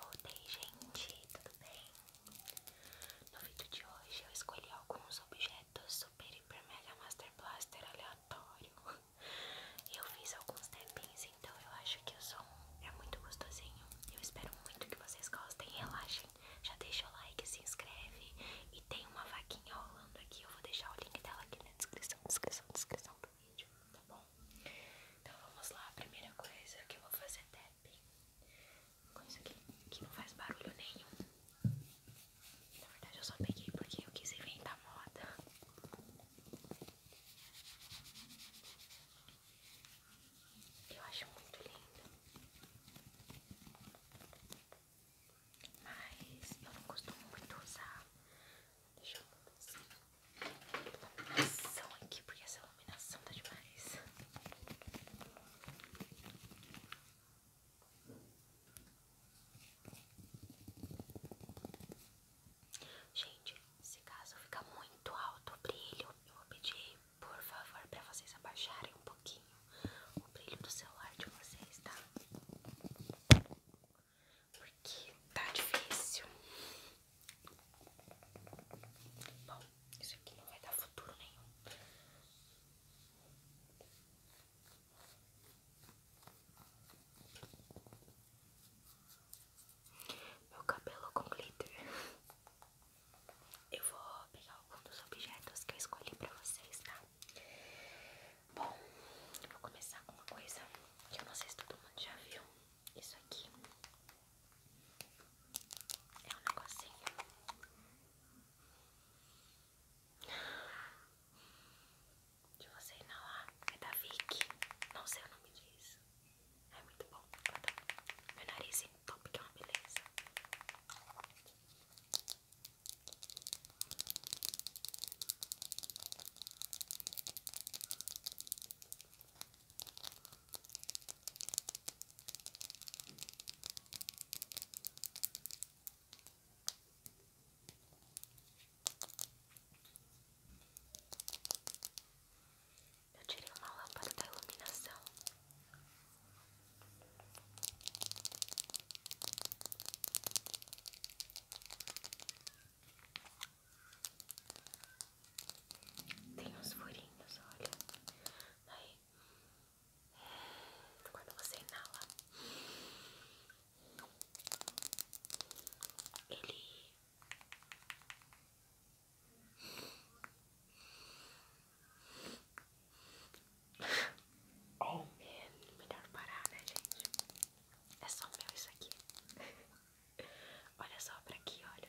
Voltei, gente, tudo bem? No vídeo de hoje eu escolhi alguns objetos do Super Hiper Mega Master Blaster aleatório. Eu fiz alguns tampings, então eu acho que o som é muito gostosinho. Eu espero muito que vocês gostem. Relaxem, já deixa o like, se inscreve. E tem uma vaquinha rolando aqui. Eu vou deixar o link dela aqui na descrição, descrição, descrição do vídeo, tá bom? Então vamos lá, primeira coisa que eu vou fazer é tapping com isso aqui, que não faz barulho nenhum. Na verdade eu só peguei porque eu quis inventar moda. Eu acho muito linda, Mas eu não costumo muito usar. Deixa eu iluminação assim. aqui, porque essa iluminação tá demais. Gente, se caso ficar muito alto o brilho, eu vou pedir, por favor, para vocês abaixarem um pouquinho o brilho do celular de vocês, tá? Porque tá difícil. Bom, isso aqui não vai dar futuro nenhum. Meu cabelo com glitter. Eu vou pegar algum dos objetos que eu escolhi pra vocês, tá? Bom, eu vou começar com uma coisa que eu não sei se todo mundo já viu. Isso aqui é um negocinho de você inalar é da Vic. Não sei o nome disso. É muito bom. Meu nariz em top que é uma beleza. Eu tirei uma lâmpada da iluminação. Tem uns furinhos, olha. Aí quando você inala, ele Oh melhor parar, né, gente? É só meu isso aqui. Olha só pra aqui, olha.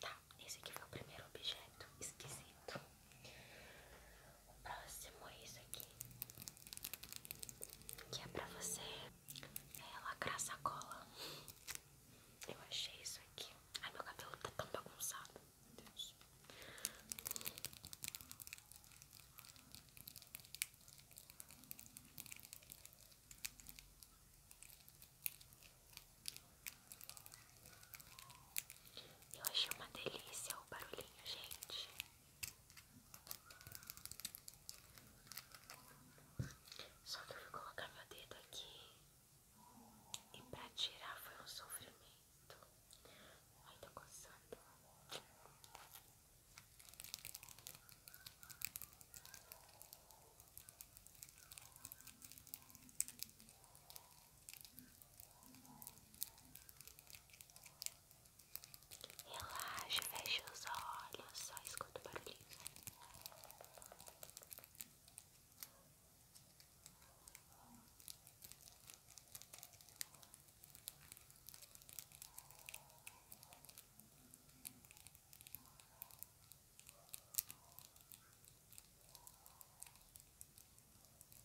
Tá, esse aqui foi o primeiro objeto esquisito o próximo é isso aqui, que é pra você é, lacrar cola Eu achei isso aqui. Ai, meu cabelo tá tão bagunçado. Deus. Eu achei uma delícia o barulhinho, gente. Só que eu fui colocar meu dedo aqui e pra tirar foi um sofrimento. Ai, tá coçando. Relaxa, fecha os olhos, só escuta o barulhinho.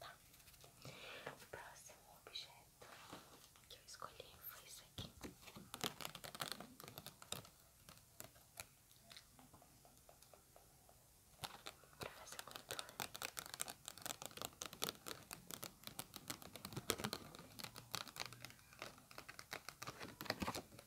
Tá. O próximo objeto que eu escolhi foi isso aqui.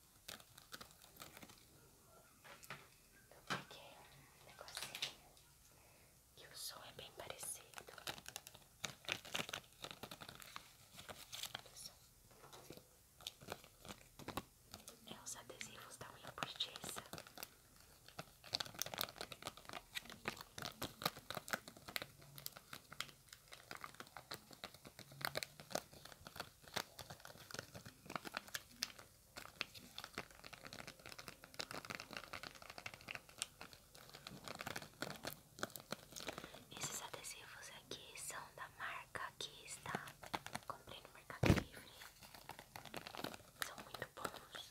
Eu um negocinho que o som é bem parecido. É os adesivos da unha postiça. Esses adesivos aqui são da marca que está. Comprei no Mercado Livre. São muito bons.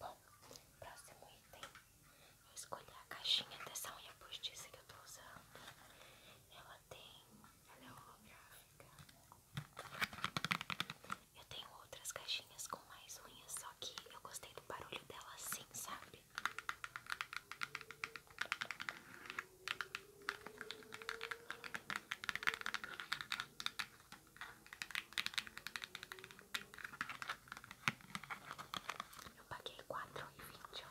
Bom, próximo item. Eu escolhi a caixinha dessa unha postiça que eu tô usando. Ela tem. Ela é holográfica. Eu tenho outras caixinhas com mais unhas, só que eu gostei do barulho dela assim, sabe? Eu paguei quatro e vinte, eu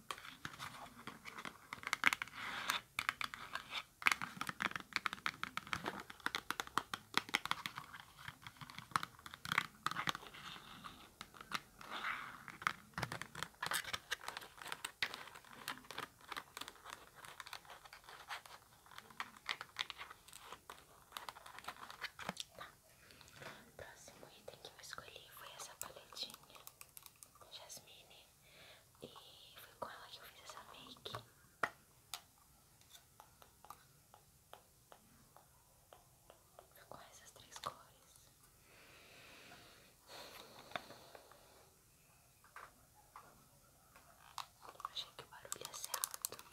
próximo item que eu escolhi foi essa paletinha Jasmine e foi com ela que eu fiz essa make. Foi com essas três cores. Achei que o barulho ia é ser alto.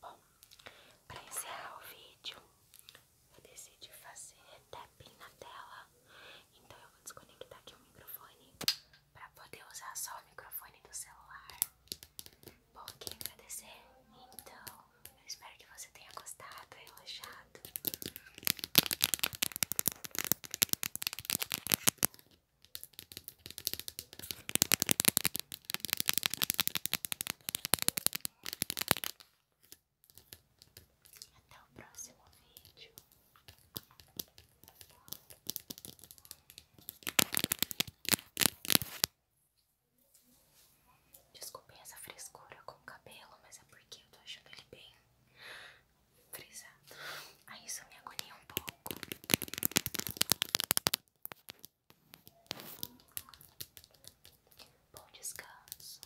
Bom, para encerrar o vídeo, eu decidi fazer tapping na tela, então eu vou desconectar aqui o microfone para poder usar só o microfone do celular. Bom, queria agradecer. Então, eu espero que você tenha gostado, relaxado. Até o próximo vídeo. Desculpem essa frescura com o cabelo, mas é porque eu tô achando ele bem frisado. Aí isso me agonia um pouco. Bom descanso.